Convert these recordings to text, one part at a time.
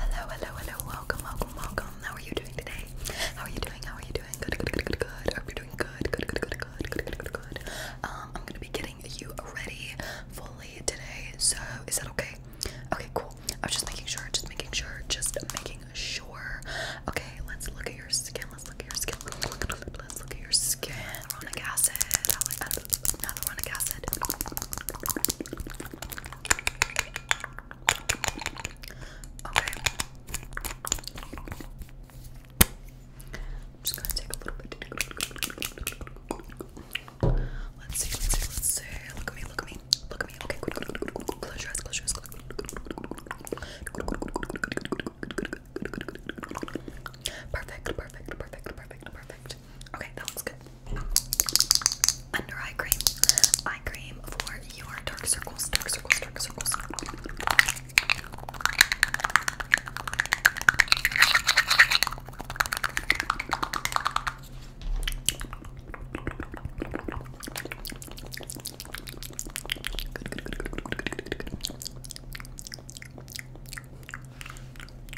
Hello, hello, hello. Welcome, welcome, welcome. How are you doing today? How are you doing? How are you doing? Good, good, good, good, good. Hope you're doing good, good, good, good, good, good, good, good, good. Um, I'm gonna be getting you ready fully today. So is that okay? Okay, cool. I was just making sure, just making sure, just making sure. Okay, let's look at your skin. Let's look at your skin. Let's look at your skin. Hyaluronic acid. Hyaluronic acid. Okay. just gonna take a little bit. Let's see, let's see, let's see. Look at me, look at me, look at me. Okay, Close your eyes, close your eyes. Perfect, perfect, perfect, perfect, perfect. Okay, that looks good. Under eye cream. Eye cream for your dark circles, dark circles, dark circles.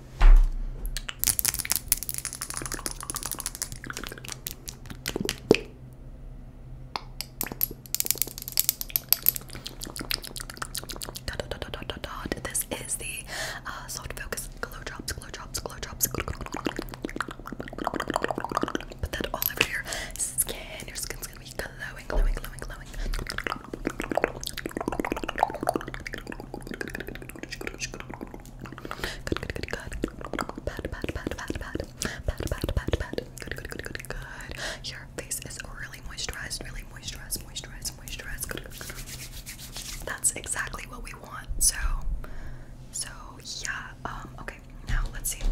Dot, dot, dot, dot, dot. This is the uh, soft focus glow drops, glow drops, glow drops. Put that all over your skin. Your skin's gonna be glowing, glowing, glowing, glowing. Good, good, good, good. Pat, pat, pat, pat, pat. Pat, pat, pat, pat. Good, good, good, good, good. Your face is really moisturized, really moisturized, moisturized, moisturized. Good, good, good. That's exactly what we want. So, so yeah. Um. Okay. Now let's see.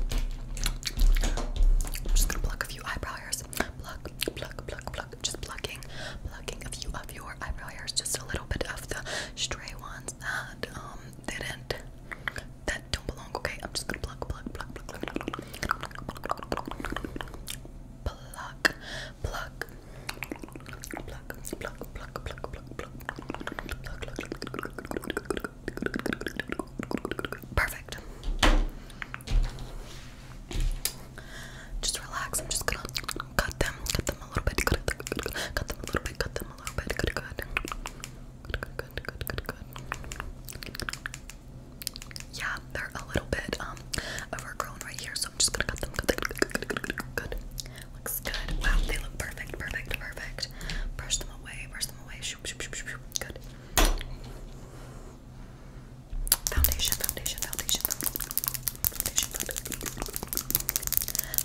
I'm just gonna pluck a few eyebrow hairs. Pluck, pluck, pluck, pluck. Just plucking, plucking a few of your eyebrow hairs. Just a little bit of the stray ones that um didn't that don't belong. Okay, I'm just gonna pluck, pluck, pluck, pluck, pluck, pluck, pluck, pluck, pluck, pluck, pluck, pluck, Perfect. Just relax. I'm just gonna cut them, cut them a little bit, cut them a little bit, cut them a little bit, cut them a little bit, good, good, good, good, good, good, good. Yeah, they're a little bit um overgrown right here, so I'm just gonna cut them. Cut them. Good, good, good, good, good. Looks good. Wow, they look perfect, perfect, perfect. Brush them away, brush them away. Shoop, shoop, shoop, shoop. Good. Foundation, foundation, foundation, foundation.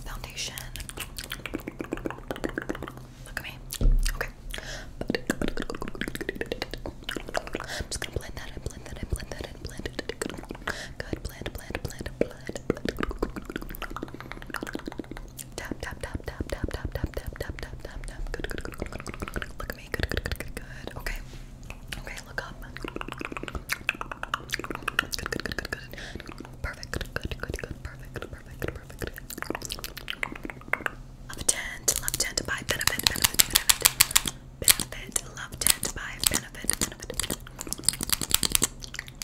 Foundation. Look at me. Okay. I'm just gonna blend that and blend that and blend that and blend it. Good. Blend, blend, blend, blend. Tap, tap, tap, tap, tap, tap, tap, tap, tap, tap, Good, good, good, good, Look at me. good, good, good, good. Okay. Okay. Love tent, love tent by benefit, benefit, benefit. love tent by benefit, benefit.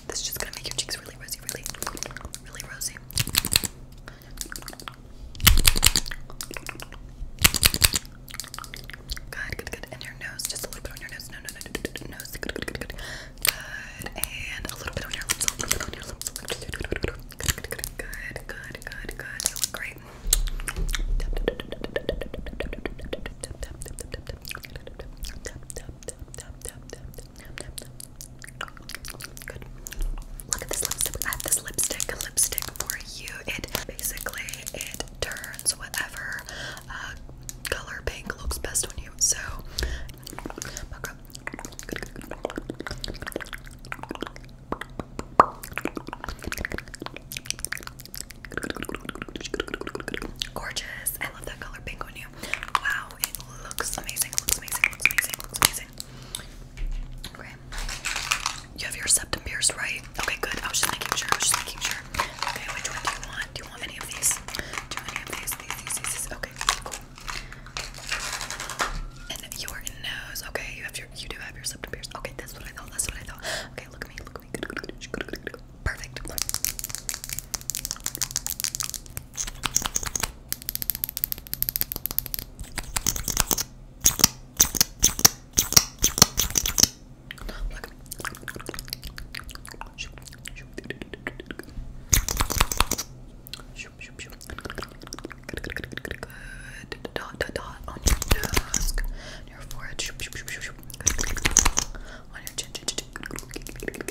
This is just gonna make your cheeks really rosy, really, really rosy. Good, good, good. And your nose, just a little bit on your nose. No, no, no, no, no, no. Nose. Good, good, good, good. Good. And a little bit on your lips. A little bit on your lips. Good, good, good, good. Good, good, good, good. You look great. Tap, tap, tap, tap, tap, tap, tap, tap, tap, tap, tap, tap, tap. Good. Look at this lipstick. I have this lipstick, lipstick for you. It basically it turns whatever uh, color pink looks best on you. So, gorgeous. I love that color pink on you. Wow, it looks amazing. Looks amazing. Looks amazing. Looks amazing. You have your septum pierced, right? Okay, good. I was just making sure. I was just making sure. Okay, which one do you want? Do you want any of these? Do you want any of these? These, these, these, Okay, cool. And your nose. Okay, you have your you do have your septum pierced. Okay, that's what I thought. That's what I thought. Okay, look at me. Look at me. Good, good, good, Perfect. Look. Shoop, shoop. Shoop, shoop, shoop. Good, good, good, good, good. Dot, dot, dot on your desk, on your forehead. Shoop, shoop, shoop, shoop, shoop. Good, good, good, good. On your chin, chin, chin. Good,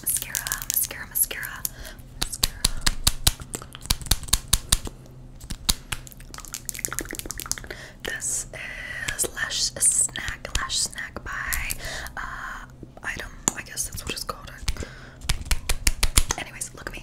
Mascara, mascara, mascara, mascara. This is Lash Snack, Lash Snack by uh, Item. I guess that's what it's called. Anyways, look at me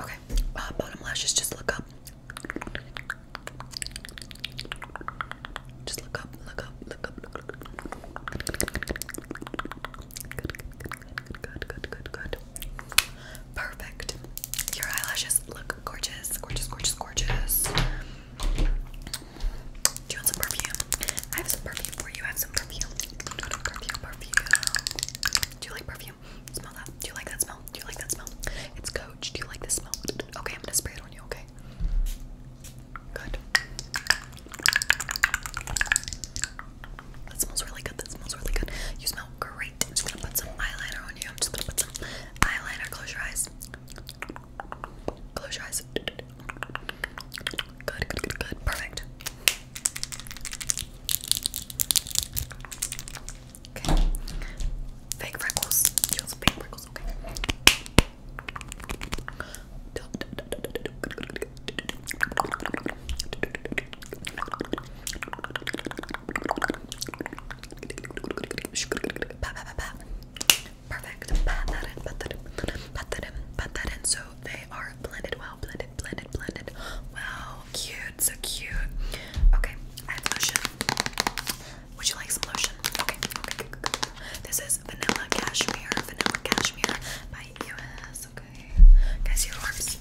Okay, uh, bottom lashes, just look up. Just look up, look up, look up, look up. Good, good, good, good, good, good. Perfect. Your eyelashes look gorgeous, gorgeous, gorgeous, gorgeous. Do you want some perfume? I have some perfume for you. I have some perfume. Perfume, perfume. Do you like perfume? Smell that. Do you like that smell? Do you like that smell? It's Coach. Do you like this smell? Okay, I'm gonna spray it on you, okay? Good. That smells really good. That smells really good. You smell great. I'm just gonna put some eyeliner on you. I'm just gonna put some eyeliner. Close your eyes. Close your eyes. Good, good, good, Perfect. Okay. Fake freckles. Just fake freckles. Okay. Perfect. So they are blended well, blended, blended, blended. Wow, cute, so cute. Okay, I have lotion. Would you like some lotion? Okay, okay, This is vanilla cashmere, vanilla cashmere by US. Okay, guys, your arms.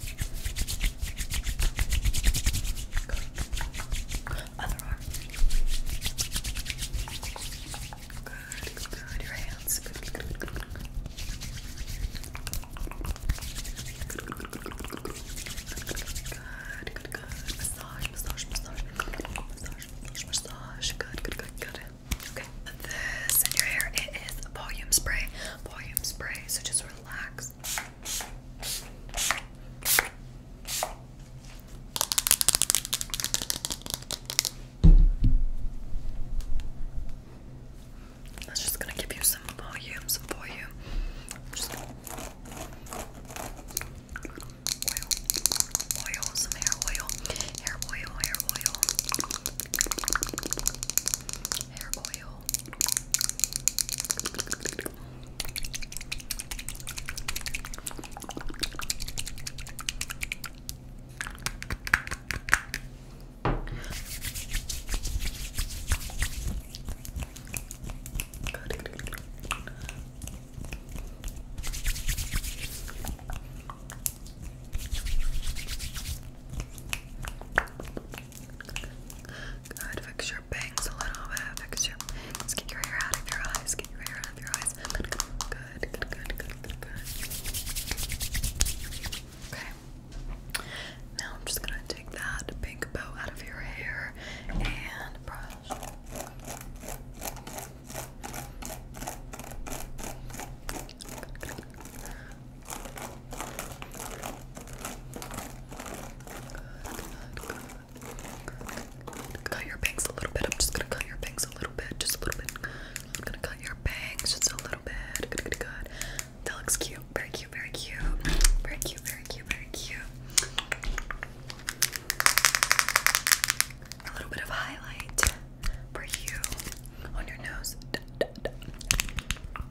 Other arm. Good, good, Your hands. Good, good, good. Massage, massage, massage. Massage, massage, massage. Good, good, good, good. Okay. This in your hair, it is a volume spray. Volume spray. So just relax. That's just gonna give you some volume, some volume. oil, oil, some hair oil, hair oil, hair oil, hair oil. Good, fix your bangs a little bit, fix your get your hair out of your eyes, get your hair out of your eyes. good, good, good, good. Okay. Now I'm just gonna take that pink bow out of your hair and brush. Cut your bangs a little bit. I'm just gonna cut your bangs a little bit, just a little bit. I'm gonna cut your bangs just a little bit. Good, good, good. That looks cute. Very cute, very cute. Very cute, very cute, very cute. A little bit of highlight for you on your nose. Good, good, good.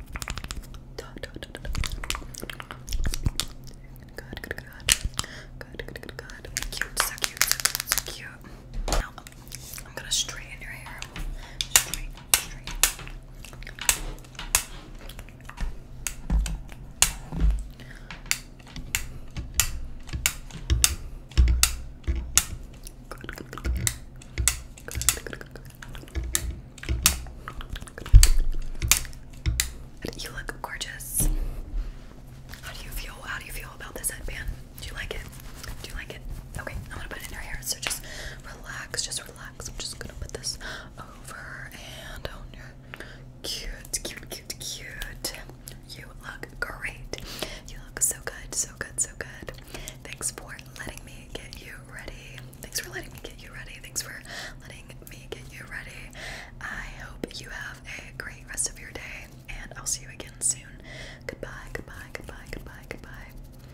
Good, good, good, good. so cute, so cute, so cute. I'm gonna straighten your hair. You look gorgeous. How do you feel? How do you feel about this headband? Do you like it? Do you like it? Okay, I'm gonna put it in your hair. So just relax, just relax. I'm just gonna put this over and on your cute, cute, cute, cute. You look great. You look so good, so good, so good. Thanks for letting me get you ready. Thanks for letting me get you ready. Thanks for letting me get you ready. I hope you have a great rest of your day, and I'll see you again soon. Goodbye, goodbye, goodbye, goodbye, goodbye.